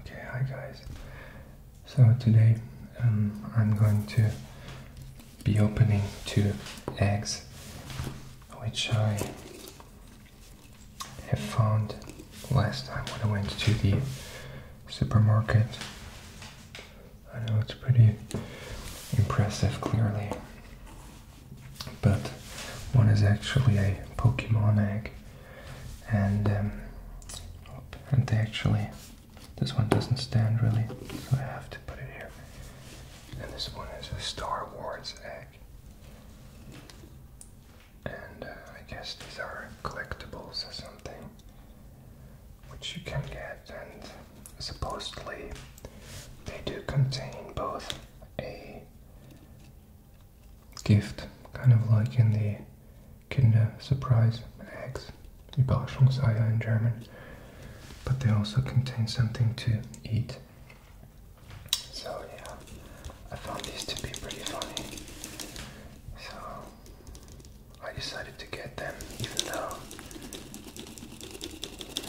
Okay, hi guys. So today um, I'm going to be opening two eggs which I have found last time when I went to the supermarket. I know it's pretty impressive clearly, but one is actually a Pokemon egg and um, and they actually this one doesn't stand really, so I have to put it here. And this one is a Star Wars egg, and uh, I guess these are collectibles or something, which you can get. And supposedly they do contain both a gift, kind of like in the Kinder Surprise eggs, Überraschungseier in German. But they also contain something to eat. So yeah, I found these to be pretty funny. So I decided to get them, even though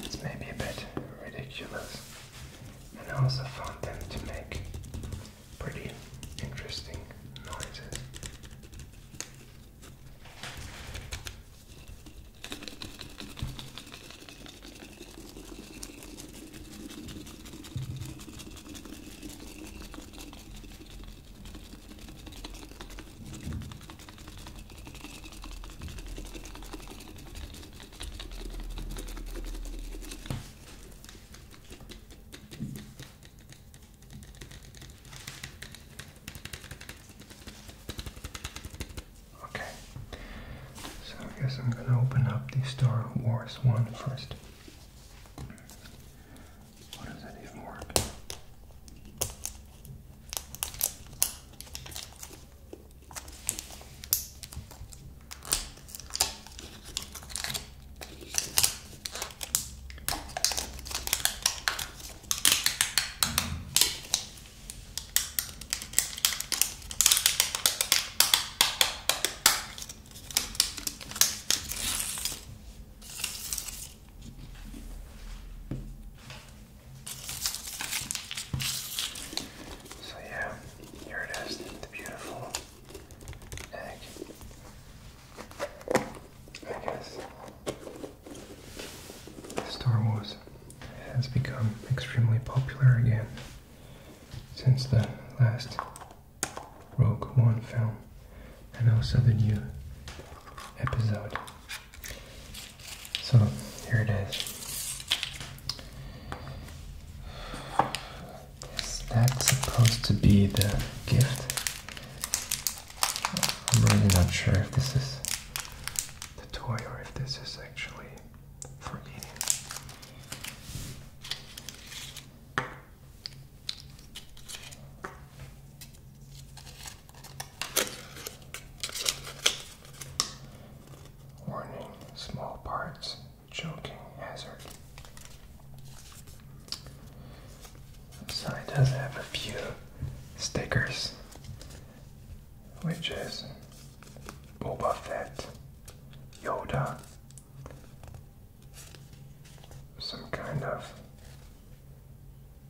it's maybe a bit ridiculous. And I also found them to make pretty interesting noises. Okay, so I guess I'm going to open up the Star Wars one first. What does that even work? So yeah, here it is, the beautiful I guess Star Wars has become extremely popular again since the last Rogue One film and also the new episode. So here it is. Is that supposed to be the gift? I'm really not sure if this is the toy or if this is actually for me. Warning small parts Joking hazard. So it does have a few stickers, which is Boba Fett, Yoda, some kind of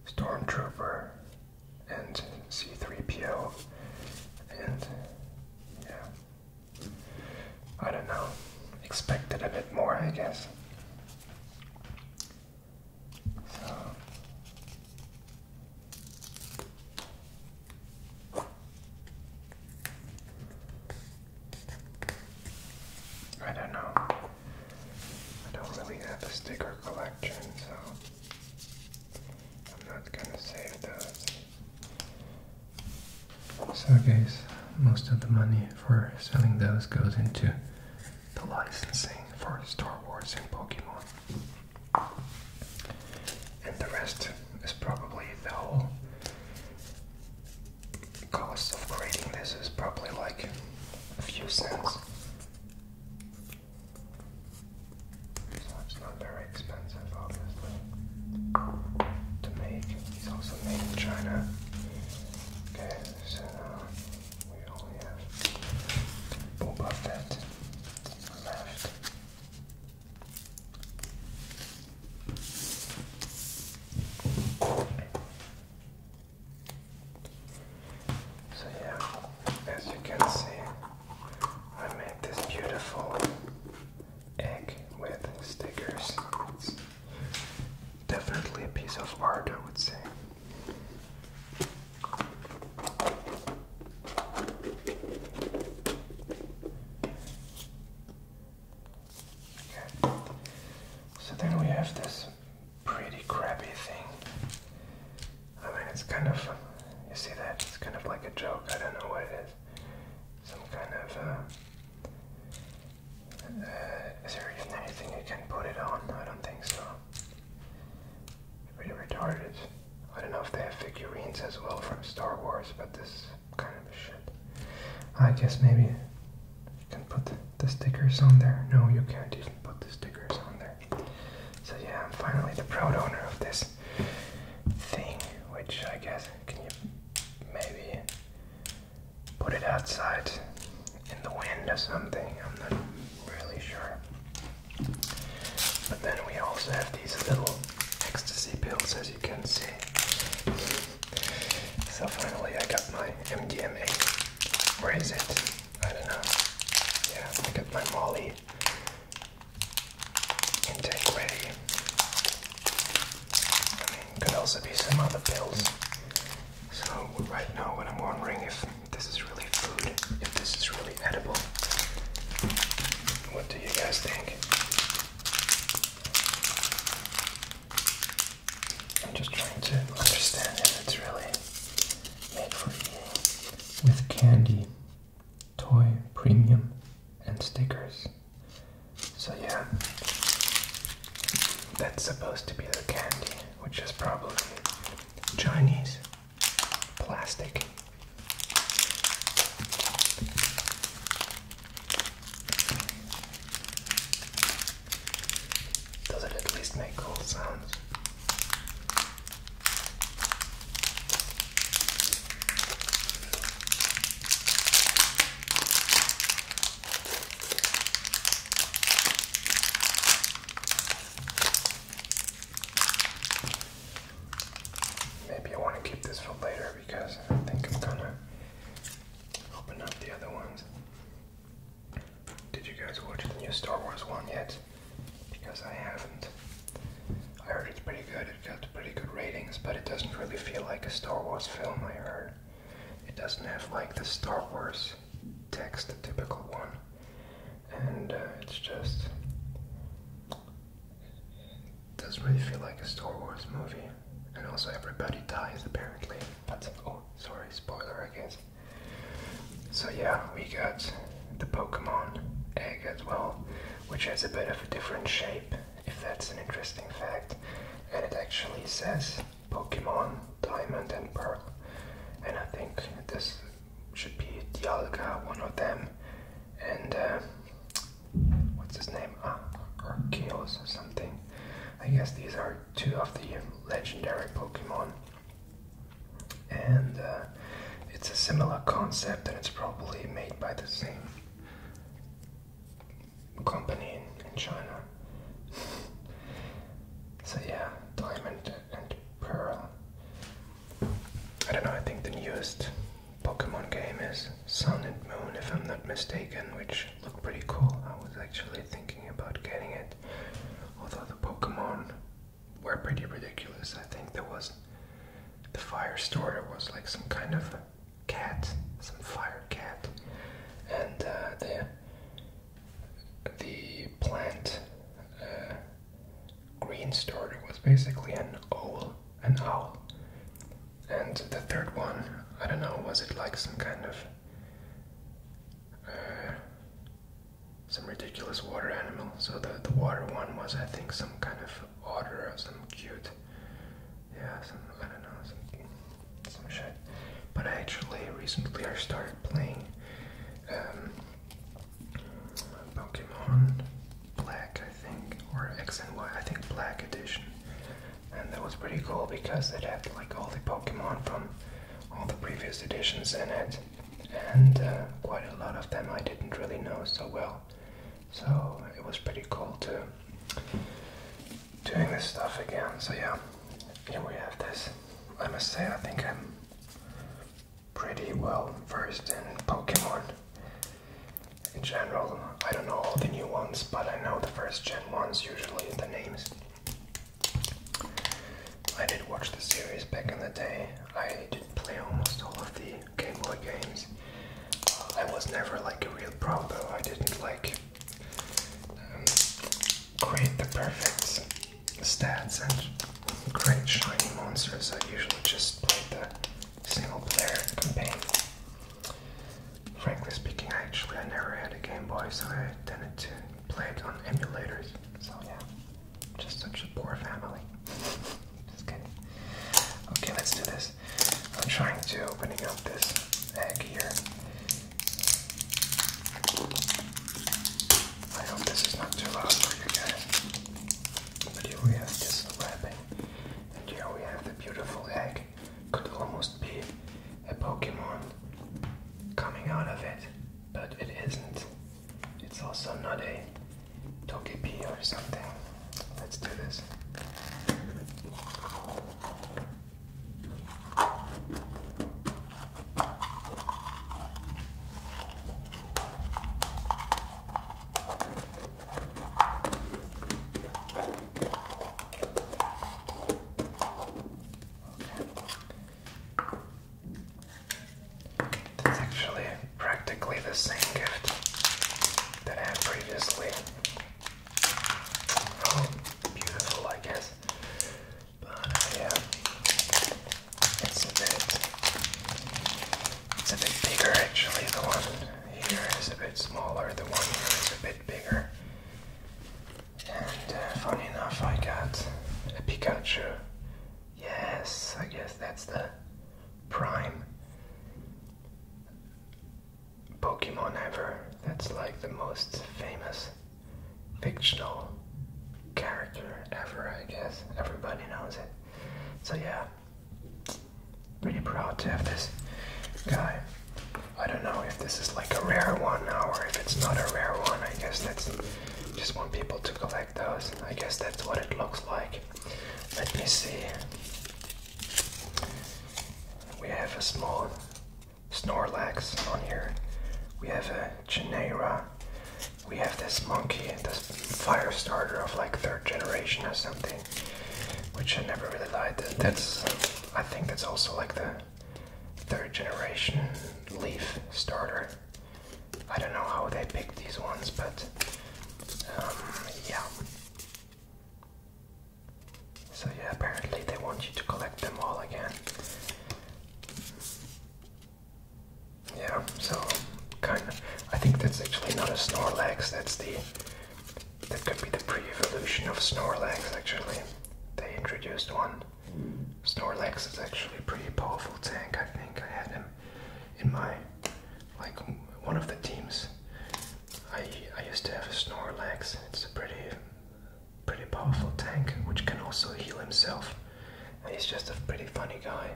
stormtrooper, and C3PO, and yeah, I don't know. Expect it a bit more, I guess. So. I don't know. I don't really have a sticker collection, so I'm So guys, most of the money for selling those goes into the licensing for Star Wars and Pokemon. And the rest is probably the whole cost of creating this is probably like a few cents. So it's not very expensive, obviously, to make. It's also made in China. Okay, so now we only have Boba Fett left. So yeah, as you can see, I made this beautiful egg with stickers. It's definitely a piece of art, I would say. So then we have this pretty crappy thing. I mean, it's kind of, you see that? It's kind of like a joke. I don't know what it is some kind of, uh, uh, is there even anything you can put it on? I don't think so. Pretty retarded. I don't know if they have figurines as well from Star Wars, but this kind of shit. I guess maybe you can put the stickers on there. No, you can't even put the stickers on there. So yeah, I'm finally the proud owner of this thing, which I guess can you maybe put it outside in the wind or something? I'm not really sure. But then we also have these little ecstasy pills, as you can see. So finally, I got my MDMA. Where is it? I don't know. Yeah, I got my Molly intake ready. I mean, could also be some other pills. So right now, what I'm wondering if this is really food, if this is really edible. What do you guys think? I'm just trying to understand if it's really made for eating with candy toy premium and stickers. So yeah, that's supposed to be the candy, which is probably Chinese plastic. Does it at least make cool sounds? Maybe I want to keep this for later because I think I'm gonna open up the other ones. Did you guys watch the new Star Wars one yet? because I haven't. I heard it's pretty good, it got pretty good ratings, but it doesn't really feel like a Star Wars film, I heard. It doesn't have like the Star Wars text, the typical one. And uh, it's just. doesn't really feel like a Star Wars movie. And also, everybody dies apparently. But, oh, sorry, spoiler, I guess. So, yeah, we got the Pokemon egg as well, which has a bit of a different shape, if that's an interesting fact. And it actually says Pokemon Diamond and Pearl. And I think this should be Dialga, one of them. And uh, what's his name? Ah, Arceus or something. I guess these are two of the legendary Pokemon and uh, it's a similar concept and it's probably made by the same company in China. so yeah, Diamond and Pearl. I don't know, I think the newest Pokemon game is Sun and Moon, if I'm not mistaken, which looked pretty cool. I was actually thinking about getting it, although the Pokemon were pretty ridiculous. I think there was the fire starter was like some kind of cat, some fire cat, and uh, the the plant uh, green starter was basically an owl, an owl, and the third one I don't know was it like some kind of uh, some ridiculous water animal. So the, the water one was, I think, some kind of otter or some cute, yeah, some, I don't know, some, shit. But I actually recently I started playing um, Pokemon Black, I think, or X and Y, I think Black Edition. And that was pretty cool because it had like all the Pokemon from all the previous editions in it and uh, quite a lot of them I didn't really know so well. So it was pretty cool to doing this stuff again. So yeah, here we have this. I must say, I think I'm pretty well versed in Pokemon in general. I don't know all the new ones, but I know the first gen ones usually the names. I did watch the series back in the day. I did play almost all of the Game Boy games. Uh, I was never like a real pro though. I didn't like um, create the perfect stats and create shiny monsters. I usually just played the single player campaign. Frankly speaking, actually, I never had a Game Boy, so I tended to play it on emulators. So yeah. Just such a poor family. Just kidding. Okay, let's do this. I'm trying to opening up this egg here. I hope this is not too loud for you guys. But here we have this wrapping. And here we have the beautiful egg. Could almost be a Pokemon coming out of it, but it isn't. It's also not a togepi or something. Let's do this. It's actually practically the same gift that I had previously. Oh, beautiful, I guess. But yeah, it's a bit, it's a bit bigger actually. The one here is a bit smaller. The one here is a bit bigger. And uh, funny enough, I got a Pikachu Yes, I guess that's the prime Pokemon ever. That's like the most famous fictional character ever, I guess. Everybody knows it. So yeah, pretty proud to have this guy. I don't know if this is like a rare one now or if it's not a rare one. I guess that's just want people to collect those. I guess that's what it looks like. Let me see. We have a small Snorlax on here. We have a Genera. We have this monkey, this fire starter of like third generation or something, which I never really liked. That's, I think that's also like the third generation leaf starter. I don't know how they picked these ones, but um, yeah. So yeah, apparently they want you to collect them all again. Yeah, so kind of. I think that's actually not a Snorlax. That's the that could be the pre-evolution of Snorlax. Actually, they introduced one. Snorlax is actually a pretty powerful tank. I think I had him in my like one of the teams. I I used to have a Snorlax. It's a pretty pretty powerful tank which can also heal himself. he's just a pretty funny guy.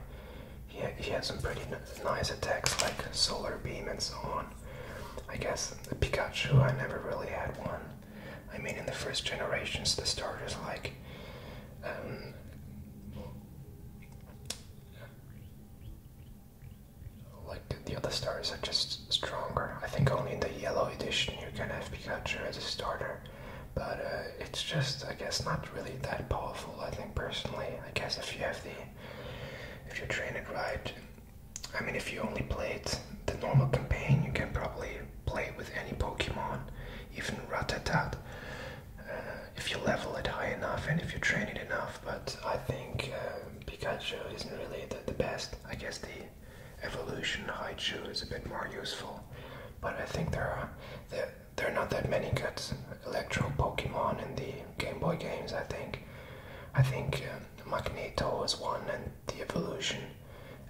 He he has some pretty nice attacks like Solar Beam and so on. I guess Pikachu. I never really had one. I mean, in the first generations, the starters like um, like the other starters are just stronger. I think only in the yellow edition you can have Pikachu as a starter, but uh, it's just I guess not really that powerful. I think personally, I guess if you have the if you train it right, I mean if you only play it the normal campaign, you can probably play with any Pokemon even Rattatat, uh, if you level it high enough and if you train it enough. But I think uh, Pikachu isn't really the, best. I guess the evolution Haichu is a bit more useful. But I think there are there, there are not that many good electro Pokemon in the Game Boy games. I think I think uh, Magneto is one, and the evolution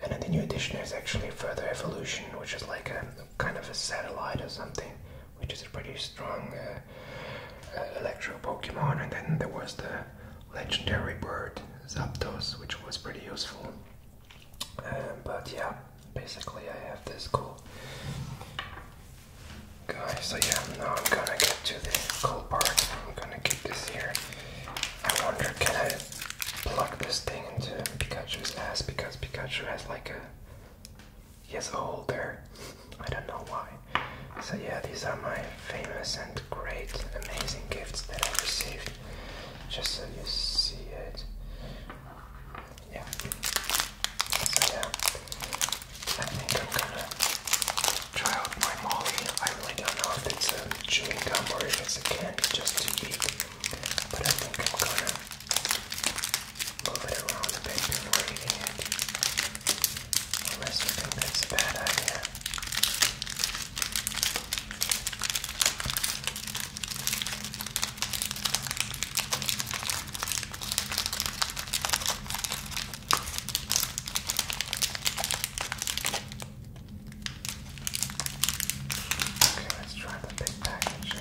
and in the new edition, there's actually further evolution, which is like a kind of a satellite or something, which is a pretty strong uh, uh electro Pokemon. And then there was the legendary bird Zapdos, which was pretty useful. Um, but yeah, basically, I have this cool guy. So yeah, now I'm gonna get to the cool part. I'm gonna get this here. I wonder, can I plug this thing into Pikachu's ass because Pikachu has like a he has a hole there. I don't know why. So yeah, these are my famous and great, amazing gifts that I received. Just so you see it. Yeah. So yeah, I think I'm gonna try out my Molly. I really don't know if it's a chewing gum or if it's a candy just to eat but I think I'm gonna move it around a bit before eating it, unless you think that's a bad idea. Okay, let's try the big package here.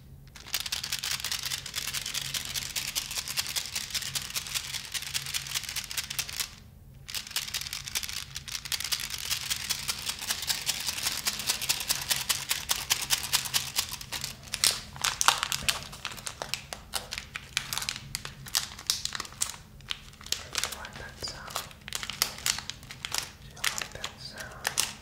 Do you like that sound? Do you like that sound?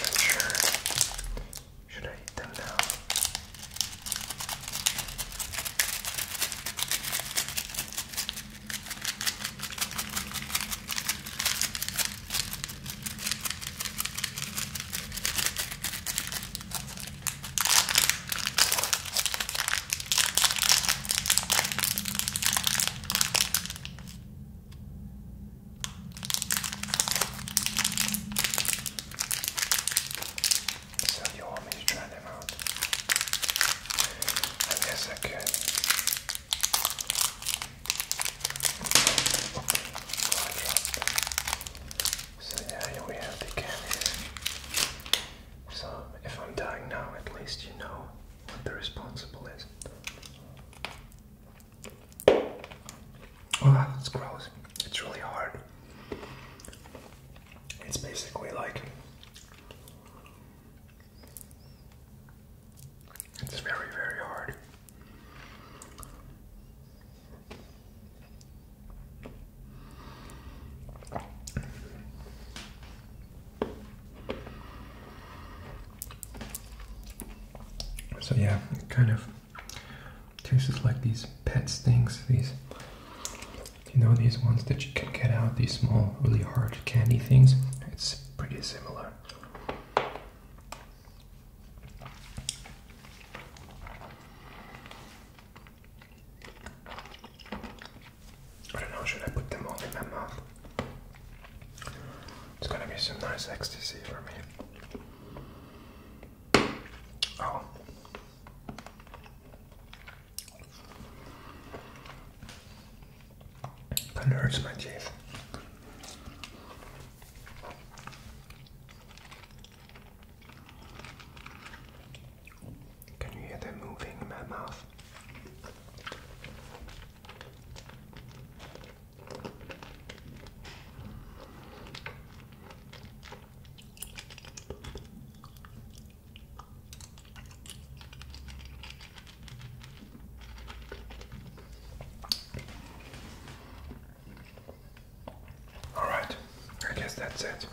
Not sure. Should I eat them now? So you want me to try them out? I guess I could. So yeah, here we have the candies. So if I'm dying now, at least you know what the responsible is. Oh, that's gross. It's really hard. It's basically like it's very, very hard. So yeah, it kind of tastes like these pet stings, these you know these ones that you can get out, these small, really hard candy things. It's pretty similar. I don't know, should I put them all in my mouth? It's gonna be some nice ecstasy for me. Oh. that hurts my teeth. Can you hear them moving in my mouth? Alright, I guess that's it.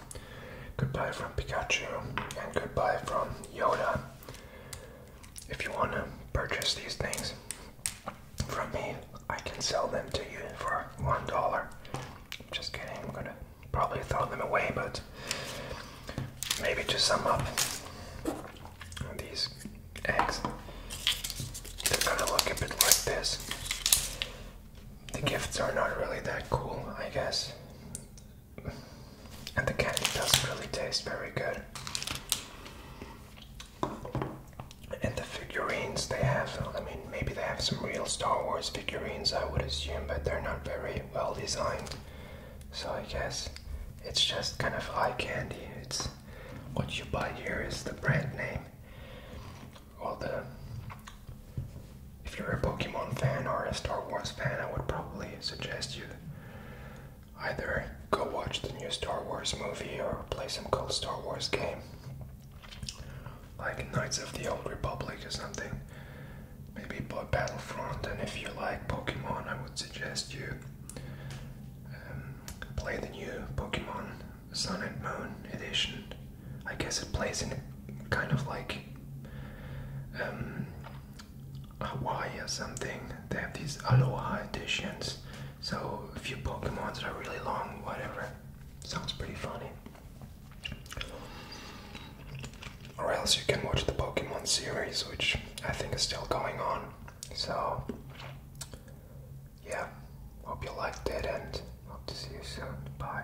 Goodbye from Pikachu and goodbye from Yoda. If you want to purchase these things from me, I can sell them to you for one dollar. Just kidding, I'm gonna probably throw them away, but maybe to sum up these eggs, they're gonna look a bit like this the gifts are not really that cool, I guess. And the candy doesn't really taste very good. And the figurines they have, I mean, maybe they have some real Star Wars figurines, I would assume, but they're not very well designed. So I guess it's just kind of eye candy. It's what you buy here is the brand name all the. If you're a Pokemon fan or a Star Wars fan, I would probably suggest you either go watch the new Star Wars movie or play some cool Star Wars game. Like Knights of the Old Republic or something. Maybe Battlefront, and if you like Pokemon, I would suggest you um, play the new Pokemon Sun and Moon edition. I guess it plays in kind of like um, Hawaii or something. They have these Aloha editions. So a few Pokemons that are really long, whatever. Sounds pretty funny. Or else you can watch the Pokemon series, which I think is still going on. So, yeah, hope you liked it and hope to see you soon. Bye.